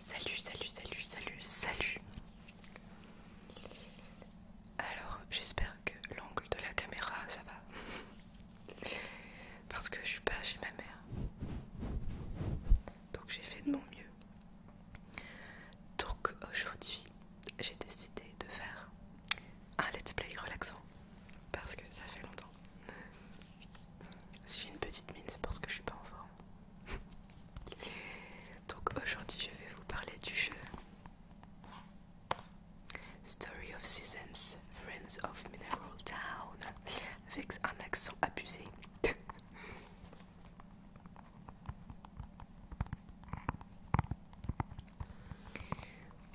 Salut, salut, salut, salut, salut. Alors, j'espère que l'angle de la caméra, ça va. Parce que je suis pas chez ma mère. Donc j'ai fait de mon mieux. Donc aujourd'hui, j'ai décidé de faire un let's play relaxant parce que ça fait longtemps. Si j'ai une petite mine, c'est parce que je suis pas en forme. Donc aujourd'hui, je vais vous parler du jeu Story of Seasons, Friends of Mineral Town, avec un accent abusé.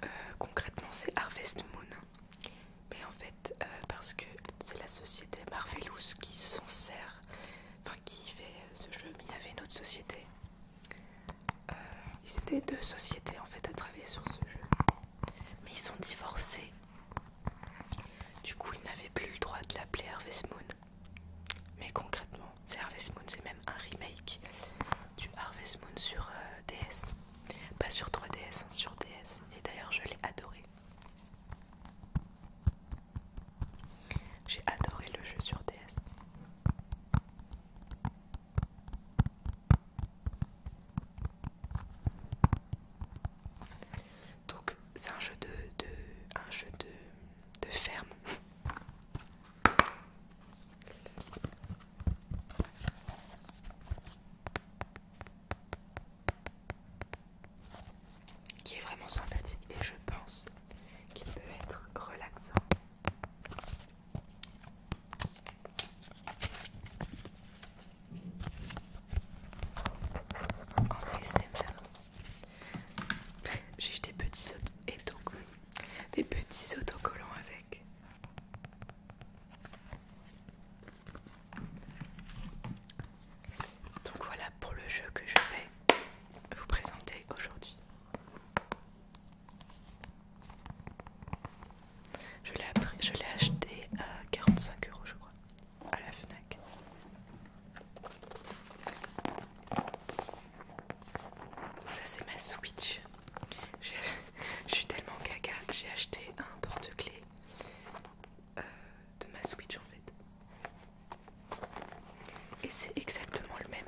Euh, concrètement, c'est Harvest Moon, mais en fait, euh, parce que c'est la société Marvelous qui s'en sert, enfin qui fait euh, ce jeu, mais il y avait une autre société. deux sociétés en fait à travailler sur ce jeu, mais ils sont divorcés. Du coup, ils n'avaient plus le droit de l'appeler Harvest Moon. Mais concrètement, c'est Harvest Moon, c'est même un remake du Harvest Moon sur euh, DS. Pas sur 3DS, hein, sur DS. Et d'ailleurs, je l'ai adoré. J'ai adoré le jeu sur DS. Donc c'est un jeu de, de un jeu de de ferme. Qui est vraiment sympathique et je pense qu'il peut être relaxant. En J'ai eu des petits et donc, des petits autocollants avec. Donc voilà pour le jeu que je vais vous présenter aujourd'hui. Je l'ai acheté à 45 euros je crois à la FNAC. Ça c'est ma Switch. Je, suis tellement caca j'ai acheté un porte-clés euh, de ma Switch en fait. Et c'est exactement le même.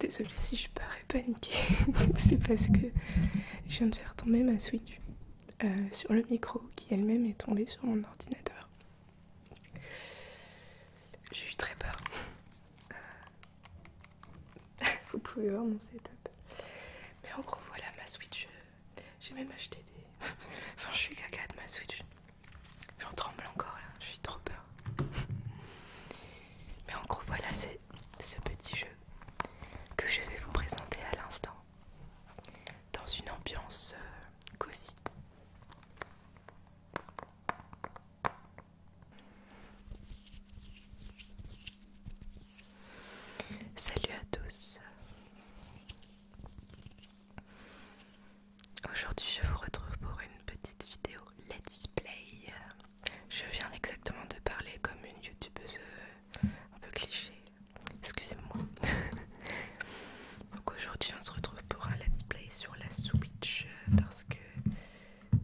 Désolée si je parle paniquer c'est parce que je viens de faire tomber ma Switch euh, sur le micro qui elle-même est tombée sur mon ordinateur. J'ai eu très peur. Euh, vous pouvez voir mon setup. Mais en gros, voilà ma Switch. J'ai même acheté des. enfin, je suis caca de ma Switch. J'en tremble encore là, j'ai trop peur. Mais en gros, voilà, c'est ce petit jeu que je vais vous présenter à l'instant dans une ambiance euh, cosy. Salut à tous. Aujourd'hui, je vous retrouve pour une petite vidéo let's play je viens exactement de parler comme une youtubeuse euh, un peu cliché. Excusez-moi. Donc aujourd'hui on se retrouve pour un let's play sur la Switch euh, parce que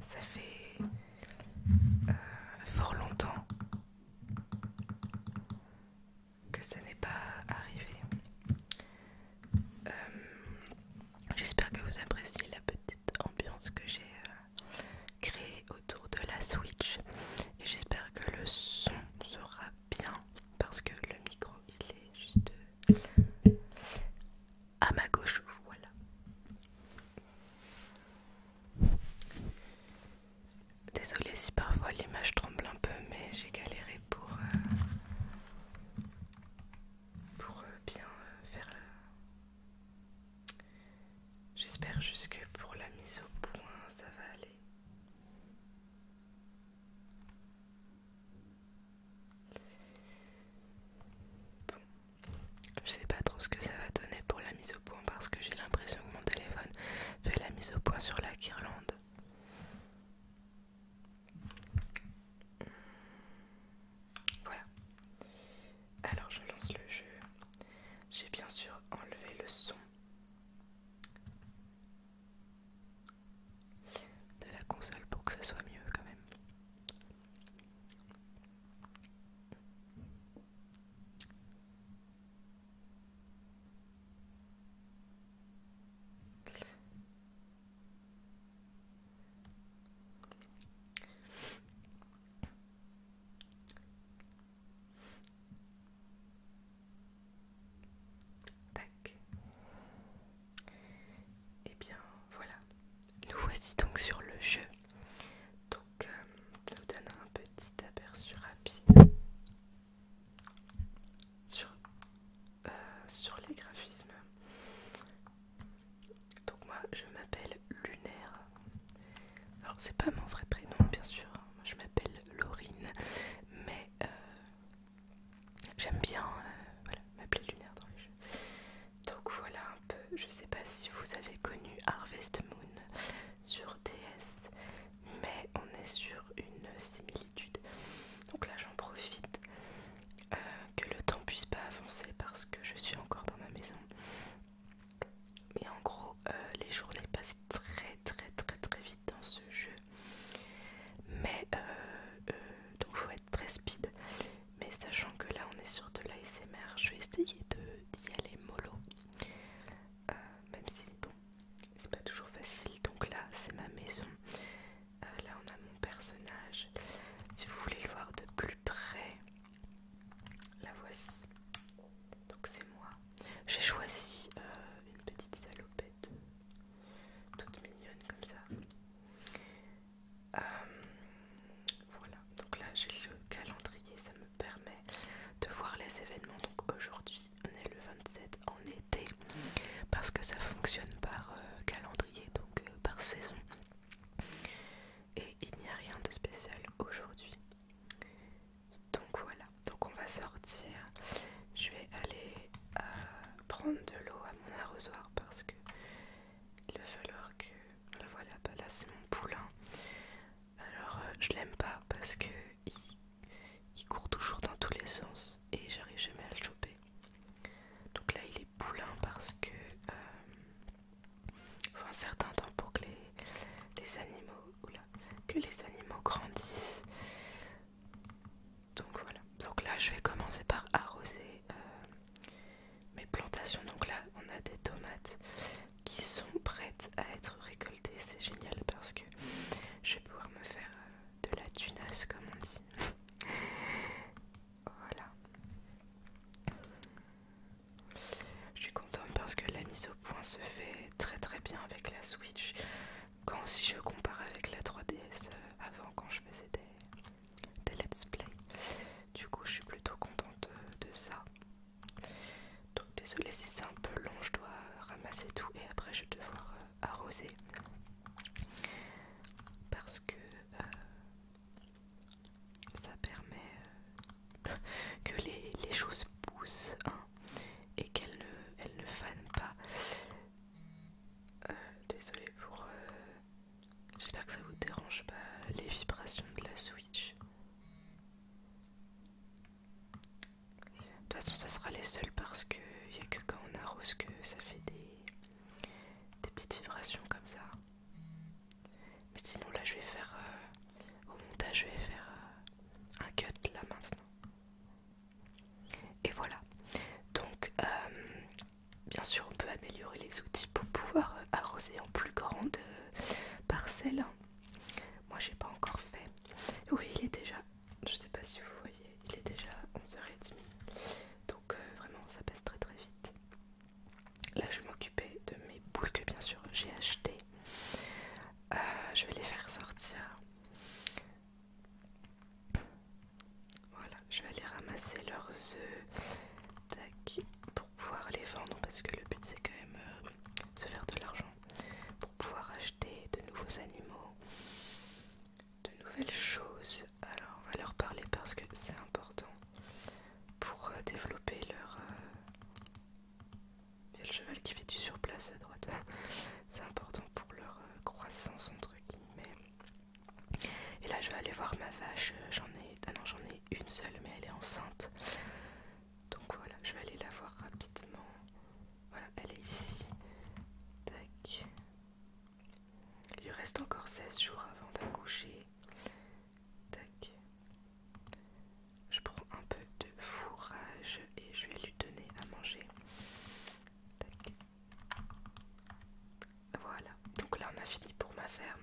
ça fait euh, fort longtemps que ça n'est pas arrivé. J'espère que vous appréciez la petite ambiance que j'ai créé autour de la Switch et j'espère que le son sera bien parce que le micro il est juste à ma gauche voilà désolé si parfois l'image tremble un peu mais j'ai galéré pour euh, pour euh, bien euh, faire faire J'espère juste que pour la mise au point, ça va aller. Je je sais pas trop ce que ça va donner pour la mise au point parce que j'ai l'impression que mon téléphone fait la mise au point sur la guirlande. Voilà. Alors je lance le jeu. J'ai bien sûr enlevé le son de la console pour que ce soit mieux quand même. Et eh bien voilà, nous voici donc sur le jeu. Donc, nous euh, je vous donne un petit aperçu rapide sur, euh, sur les graphismes. Donc moi je m'appelle Lunaire. Alors c'est pas mon vrai prénom bien sûr, hein. moi, je m'appelle Laurine, mais euh, j'aime bien euh, m'appeler Lunaire dans les jeux. Donc voilà un peu, je sais pas si vous avez connu Harvest Moon sur DS, mais on est sur une similitude. Donc là j'en profite euh, que le temps puisse pas avancer parce que je suis encore dans ma maison. Mais en gros, euh, les journées passent très très très très vite dans ce jeu. Mais euh, donc faut être très speed. Mais sachant que là on est sur de l'ASMR, je vais essayer d'y aller mollo. même si bon, c'est pas toujours facile. Donc là c'est ma maison. Euh, là on a mon personnage. Si vous voulez le voir de plus près, la voici. Donc c'est moi. J'ai choisi euh, une petite salopette toute mignonne comme ça. Euh, voilà, donc là j'ai le calendrier, ça me permet de voir les événements. Donc aujourd'hui, on est le 27 en été parce que ça fonctionne par calendrier, donc par saison. Et il n'y a rien de spécial aujourd'hui. Donc voilà, donc on va sortir. Je vais aller euh, prendre de l'eau à mon arrosoir parce que il va falloir que... Voilà, bah là c'est mon poulain. Alors euh, je l'aime pas parce que il court toujours dans tous les sens et j'arrive jamais à le choper. Donc là, il est boulin parce que il euh, faut un certain temps pour que les, animaux, que les animaux grandissent. Donc voilà. Donc là, je vais commencer par arroser euh, mes plantations. Donc là, on a des tomates qui sont prêtes à être récoltées. C'est génial parce que je vais pouvoir me faire euh, de la tunasse, comme on dit. Voilà. Je suis contente parce que la mise au point se fait très très bien avec la Switch. Quand si je compare avec la 3DS euh, avant quand je faisais des, let's play. Du coup je suis plutôt contente euh, de, ça. Donc désolée si c'est un peu long, je dois ramasser tout et après je vais devoir euh, arroser. Parce que euh, ça permet euh, que les, choses poussent hein, et qu'elles ne, ne fanent pas. Euh, Désolée pour. J'espère que ça vous dérange pas les vibrations de la Switch. De toute façon, ça sera les seuls parce que il n'y a que quand on arrose que ça fait des des petites vibrations comme ça. Mais sinon là je vais faire euh, au montage je vais faire euh, un cut là maintenant. Et voilà. Donc euh, bien sûr on peut améliorer les outils pour pouvoir arroser en plus grande parcelle. Moi j'ai pas encore fait. Oui il est déjà. Je sais pas si vous voyez il est déjà 11h30 donc euh, vraiment ça passe très très vite là je vais m'occuper de mes boules que bien sûr j'ai achetées euh, je vais les faire sortir voilà je vais aller ramasser leurs œufs pour pouvoir les vendre parce que le but c'est quand même euh, de se faire de l'argent pour pouvoir acheter de nouveaux animaux de nouvelles choses. Alors on va leur parler parce que c'est important pour euh, développer leur... Euh, le cheval qui fait du surplace à droite. c'est important pour leur euh, croissance entre guillemets. Et là je vais aller voir ma vache. J'en ai... Ah j'en ai une seule mais elle est enceinte. Donc voilà, je vais aller la voir rapidement. Voilà, elle est ici. Tac. Il lui reste encore 16 jours avant d'accoucher. Tac. Je prends un peu de fourrage et je vais lui donner à manger. Voilà, donc là on a fini pour ma ferme.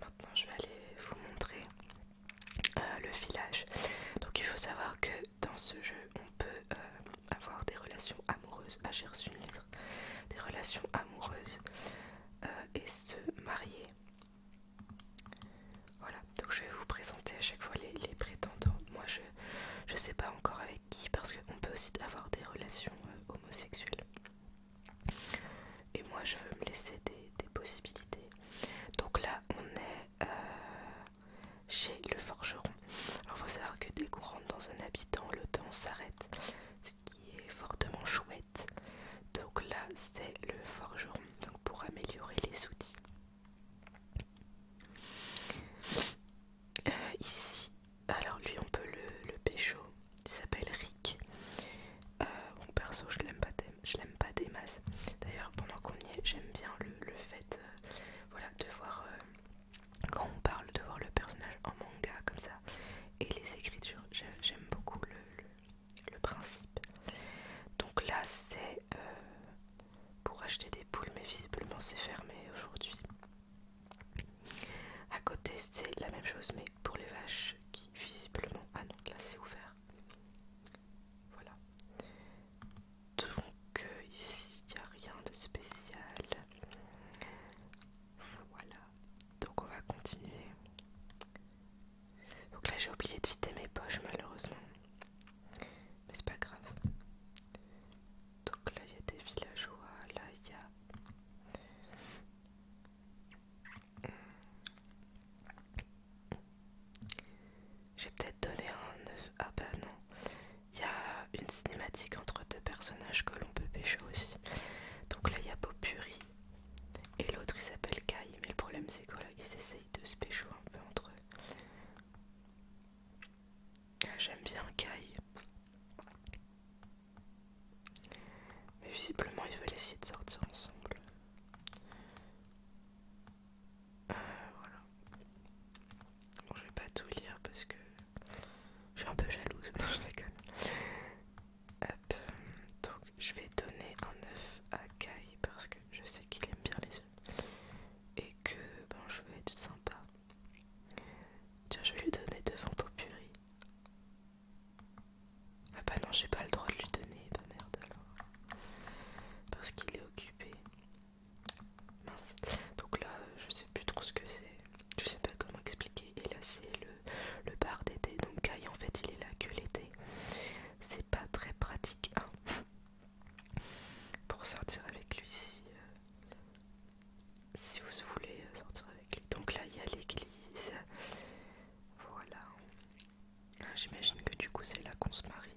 Maintenant je vais aller vous montrer euh, le village. Donc il faut savoir que dans ce jeu on peut euh, avoir des relations amoureuses, ah j'ai une lettre, des relations amoureuses euh, et se marier. Voilà, donc je vais vous présenter à chaque fois les, prétendants. Moi je je sais pas encore avec qui parce qu'on peut aussi avoir des relations euh, homosexuelles. Et moi je veux me laisser des, possibilités. Donc là on est euh, chez le forgeron. Alors, faut savoir que dès qu'on rentre dans un habitant, le temps s'arrête, ce qui est fortement chouette. Donc, là, c'est le forgeron donc pour améliorer les outils. Euh, ici, alors lui, on peut le, pécho. Il s'appelle Rick. Euh, bon, perso, je l'aime pas, pas des masses. D'ailleurs, pendant qu'on y est, j'aime bien le, fait euh, voilà, de voir quand on parle de voir le personnage en manga comme ça et les écritures, j'aime beaucoup le, principe. Donc là c'est euh, pour acheter des poules mais visiblement c'est fermé aujourd'hui. À côté c'est la même chose mais pour les vaches qui visiblement... Ah non là c'est ouvert. Voilà donc euh, ici il n'y a rien de spécial voilà donc on va continuer donc là j'ai oublié de vider mes poches malheureusement mais c'est pas grave donc là il y a des villageois là il y a j'ai peut-être donné un 9 ah bah non. Il y a une cinématique entre deux personnages que l'on peut pêcher aussi. Donc là, il y a Puri et l'autre il s'appelle Kai. Mais le problème, c'est qu'ils ils essayent de se pécho un peu entre eux. Ah, j'aime bien Kai. Mais visiblement, ils veulent essayer de sortir ensemble. Euh, voilà. Bon, je vais pas tout lire parce que je suis un peu jalouse. je déconne. Hop. Donc, je vais donner un œuf à Kai parce que je sais qu'il aime bien les œufs et que ben, je vais être sympa. Tiens, je vais lui donner devant purée. Ah bah non, j'ai pas le droit de lui donner, bah merde alors. Parce qu'il est occupé. Donc là, euh, je sais plus trop ce que c'est. Je sais pas comment expliquer. Et là, c'est le, bar d'été. Donc Kai, en fait, il est là que l'été. C'est pas très pratique hein, pour sortir avec lui si, euh, si vous voulez euh, sortir avec lui. Donc là, il y a l'église. Voilà. J'imagine que du coup, c'est là qu'on se marie.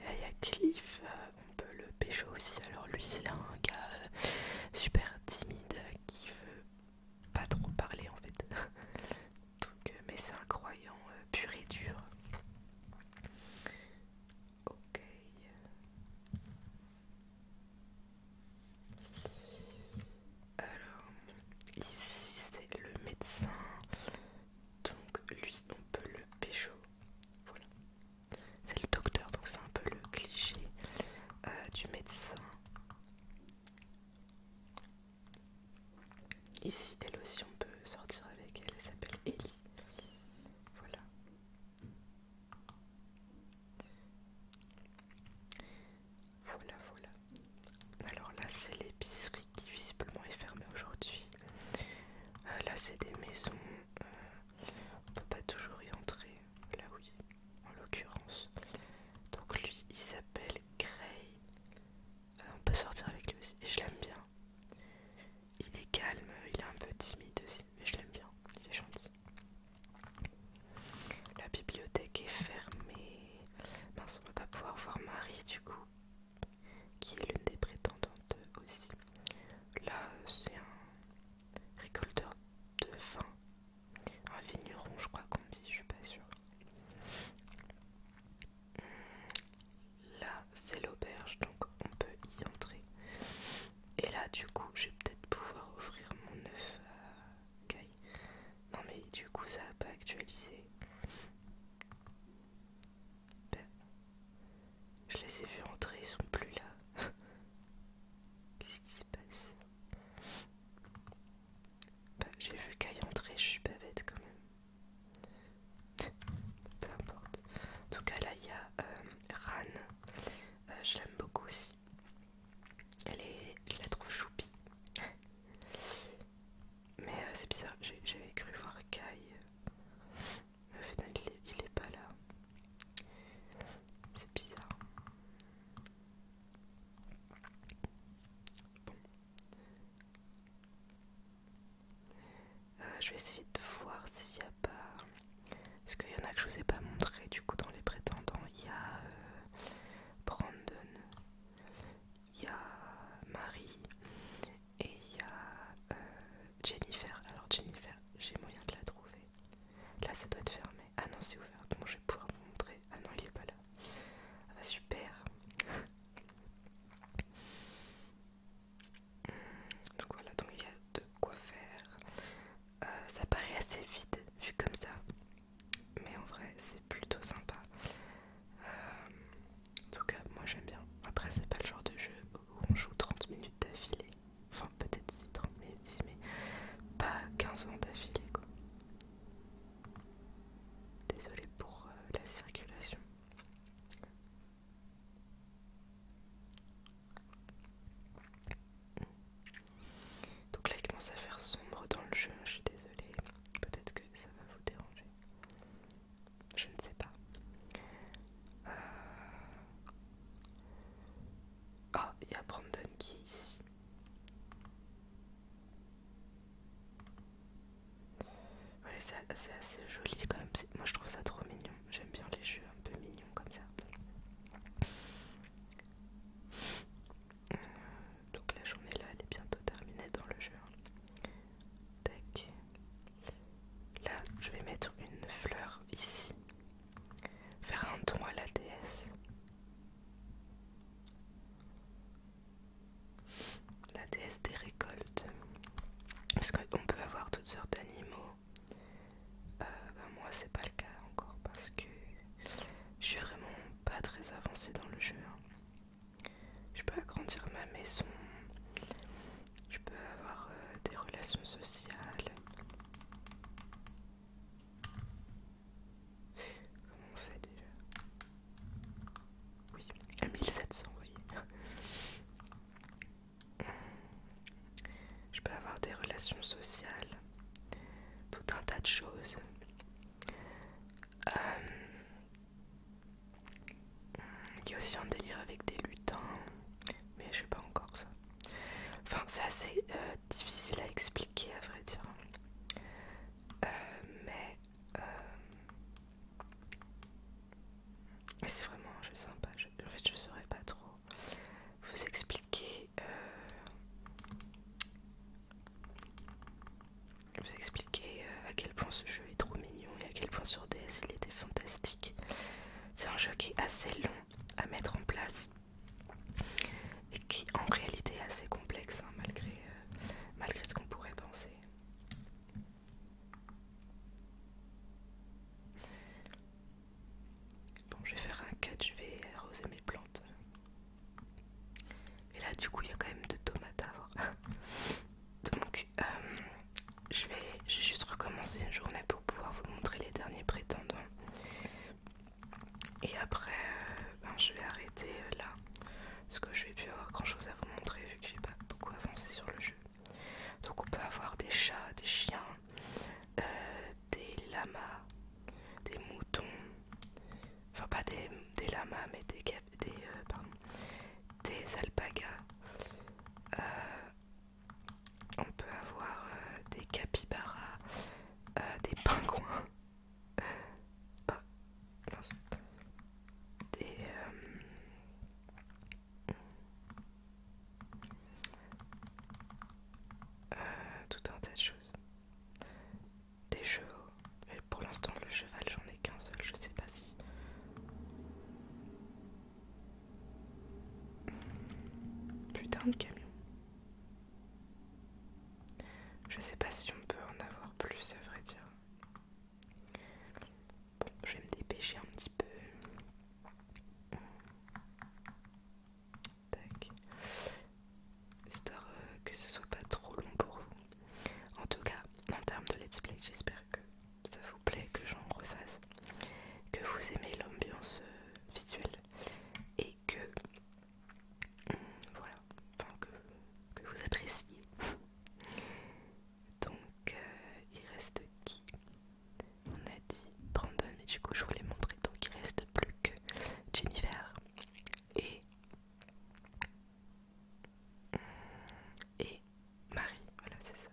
Et là, il y a Cliff, euh, on peut le pécho aussi. Alors, lui, c'est un gars euh, super timide euh, qui veut pas trop parler en fait. Donc, mais c'est un croyant pur et dur. Ok. Alors, ici c'est le médecin. Donc, lui, on peut le pécho. Voilà. C'est le docteur, donc c'est un peu le cliché euh, du médecin. Ici, elle aussi, on peut sortir avec elle. Elle s'appelle Ellie. Voilà. Voilà, voilà. Alors là, c'est l'épicerie qui visiblement est fermée aujourd'hui. Euh, là, c'est des maisons on peut pas toujours y entrer, là oui, en l'occurrence. Donc lui, il s'appelle Gray. Euh, on peut sortir avec lui aussi, et je l'aime bien. Il est calme, il est un peu timide aussi, mais je l'aime bien, il est gentil. La bibliothèque est fermée. Mince, on va pas pouvoir voir Marie du coup qui est l'une des prétendantes aussi. Là, c'est un récolteur de vin, un vigneron, je crois qu'on dit, je suis pas sûre. Hum, là, c'est l'auberge, donc on peut y entrer. Et là, du coup, je vais peut-être pouvoir offrir mon œuf à Guy. Non, mais du coup, ça n'a pas actualisé. Ben, je les ai vus entrer, ils sont plus là. Qu'est-ce qui se passe ben, j'ai vu Kai entrer, je suis pas bête quand même. Peu importe. En tout cas, là, il y a euh, Ran. Euh, je l'aime beaucoup aussi. Elle est, je la trouve choupie. Mais euh, c'est bizarre, j'avais cru voir Kai. Mais final, il est, pas là. C'est bizarre. Euh, je vais essayer de voir s'il n'y a pas. Parce qu'il y en a que je vous ai pas montré du coup dans les prétendants. Il y a euh, Brandon, il y a Marie, et il y a euh, Jennifer. Alors Jennifer, j'ai moyen de la trouver. Là ça doit être fermé. Ah non c'est ouvert. Donc je vais pouvoir vous montrer. Ah non il est pas là. Ah super. Hmm, donc voilà, donc il y a de quoi faire. Euh, ça paraît assez vide vu comme ça. Mais en vrai c'est plutôt sympa. Euh, en tout cas, moi j'aime bien. Après, c'est pas le genre de jeu où on joue 30 minutes d'affilée. Enfin, peut-être si 30 minutes, mais pas 15 ans d'affilée quoi. désolé pour euh, la circulation. Donc là, il commence à faire sombre dans le jeu. Hein, je suis désolée. Peut-être que ça va vous déranger. Je ne sais pas. Euh, ah, il y a Brandon qui est ici. c'est assez joli quand même. Moi je trouve ça trop mignon. J'aime bien les jeux un peu mignons comme ça. Euh, donc la journée là, elle est bientôt terminée dans le jeu. Hein. Là, je vais mettre une fleur ici. Faire un don à la déesse. La déesse des récoltes. Parce qu'on peut avoir toutes sortes d'animaux. Euh, ben moi, c'est pas le cas encore parce que je suis vraiment pas très avancée dans le jeu. Hein. Je peux agrandir ma maison. Je peux avoir euh, des relations sociales. Comment on fait déjà Oui, à 1700, oui. Je peux avoir des relations sociales, tout un tas de choses. Euh, il y a aussi un délire avec des lutins, mais je sais pas encore ça. Enfin, c'est assez euh, difficile à expliquer à vrai dire. Euh, euh, mais c'est vraiment je sympa. en fait, je saurais pas trop vous expliquer. Je vous expliquer euh, à quel point ce jeu est trop mignon et à quel point sur DS il était fantastique. C'est un jeu qui est assez long à mettre en place et qui en réalité est assez complexe hein, malgré, euh, malgré ce qu'on pourrait penser. Bon, je vais faire un cut, je vais arroser mes plantes. Et là, du coup, il y a quand même deux tomates à Donc, euh, je vais juste recommencé une journée pour pouvoir vous montrer les derniers prétendants. Et après, euh, ben, je vais arrêter euh, là. Parce que je vais plus avoir grand chose à vous montrer vu que j'ai pas beaucoup avancé sur le jeu. Donc, on peut avoir des chats, des chiens, des lamas, des moutons, enfin pas des, des lamas mais des, des, euh, pardon, des alpagas. Euh, on peut avoir euh, des capybaras, des pingouins, oh, des... tout un tas de choses des chevaux. Mais pour l'instant, le cheval, j'en ai qu'un seul. Je sais pas si. Putain de camion. Je sais pas si on peut en avoir plus, à vrai dire. Bon, je vais me dépêcher un petit peu. Tac. Histoire euh, que ce soit pas trop long pour vous. En tout cas, en termes de let's play, j'espère que ça vous plaît, que j'en refasse, que vous aimez l'ambiance euh, visuelle et que mm, voilà, que, vous appréciez. Donc euh, il reste qui On a dit Brandon, mais du coup je voulais montrer, donc il reste plus que Jennifer et et Marie, voilà c'est ça.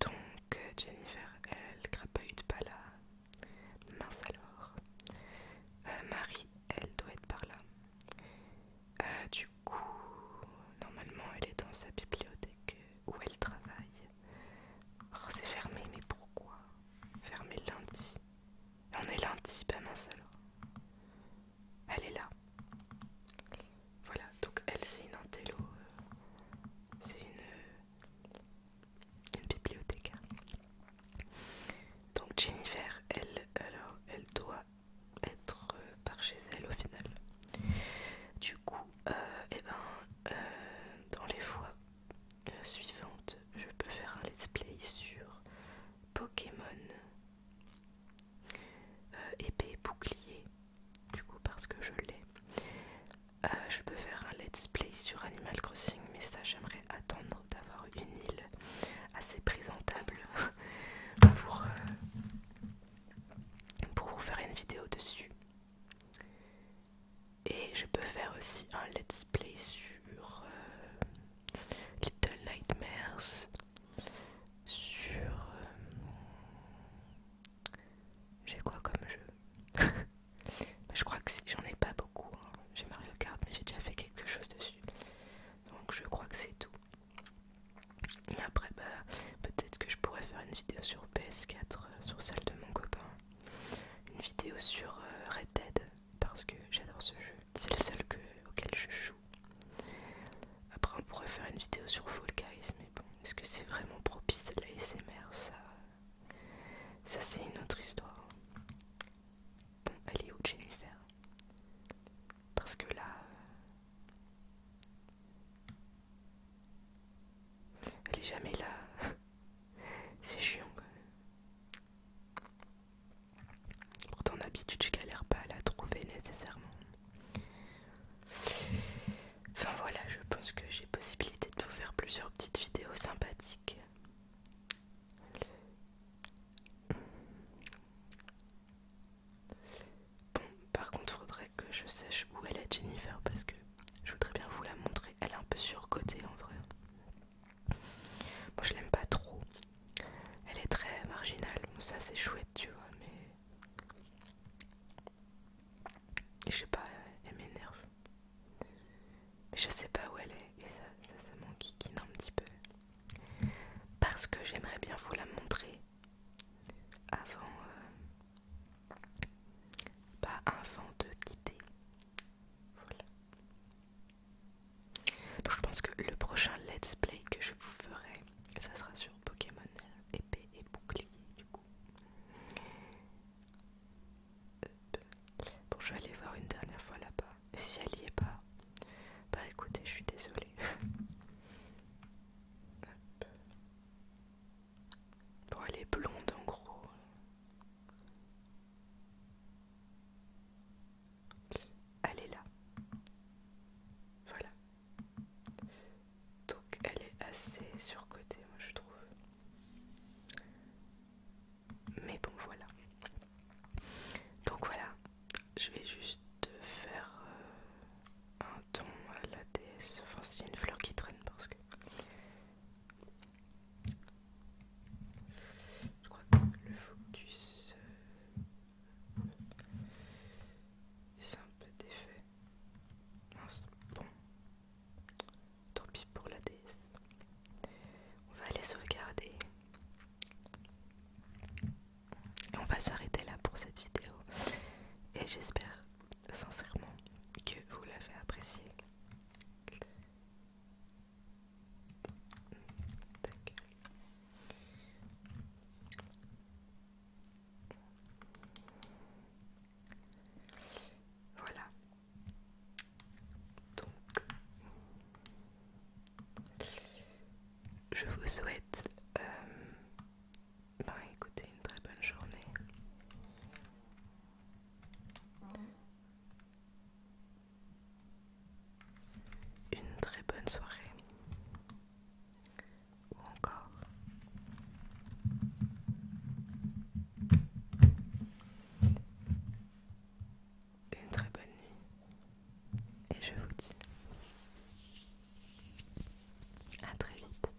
Donc euh, Jennifer, elle grappe pas là. Mince alors. Euh, Marie, elle doit être par là. Euh, du coup, normalement elle est dans sa bibliothèque où elle travaille. Oh, c'est fermé, mais pourquoi Fermé lundi. On est lundi, pas ben mince alors elle est là. Voilà, donc elle c'est une intello, euh, c'est une, euh, une bibliothécaire. Donc Jennifer, elle, alors, elle doit être euh, par chez elle au final. Du coup, et eh ben, dans les fois suivantes, je peux faire un let's play sur Pokémon euh, épée bouclier du coup parce que je l'ai euh, je peux faire un let's play sur Animal Crossing mais ça j'aimerais attendre d'avoir une île assez présentable pour, euh, pour vous faire une vidéo dessus et je peux faire aussi un let's play sur Little Nightmares sur euh, j'ai quoi comme jeu bah, Je crois que j'en ai pas beaucoup. Hein. J'ai Mario Kart mais j'ai déjà fait quelque chose dessus. Donc je crois que c'est tout. Et après bah peut-être que je pourrais faire une vidéo sur PS4, euh, sur celle de mon copain. Une vidéo sur euh, Red Dead parce que j'adore ce jeu. C'est le seul que, auquel je joue. Après, on pourrait faire une vidéo sur Fall Guys, mais bon, est-ce que c'est vraiment propice à l'ASMR Ça, ça c'est une autre histoire. Bon, elle est où Jennifer Parce que là. Elle est jamais là. c'est chiant quand même. Pourtant, d'habitude, habitude, je galère pas à la trouver nécessairement. Enfin voilà, je pense que j'ai possibilité de vous faire plusieurs petites vidéos sympathiques. Bon, par contre, faudrait que je sache où elle est Jennifer parce que je voudrais bien vous la montrer. Elle est un peu surcotée en vrai. Moi je l'aime pas trop. Elle est très marginale, ça c'est chouette, tu vois, mais. Je sais pas, elle m'énerve. Mais je sais pas où elle est, et ça, ça, m'enquiquine un petit peu. Parce que j'aimerais bien vous la montrer avant. Euh, pas avant de quitter voilà. je pense que le prochain let's play que je vous ferai, ça sera sur Pokémon épée et bouclier du coup. Euh, bon je vais aller voir une dernière fois là-bas. Si elle y est pas, bah écoutez, je suis désolée. Bon, elle est blonde en gros, elle est là. Voilà. Donc elle est assez surcotée, moi je trouve. Mais bon, voilà. Donc voilà, je vais juste faire euh, un ton à la DS, Enfin, c'est une fleur qui traîne parce que je crois que le focus c'est euh, un peu défait. Bon, tant pis pour la DS On va aller sauvegarder. Et on va s'arrêter là pour cette vidéo. Et j'espère sincèrement que vous l'avez apprécié voilà. Donc, je vous souhaite, euh, ben écoutez, une très bonne journée une très bonne soirée ou encore une très bonne nuit et je vous dis à très vite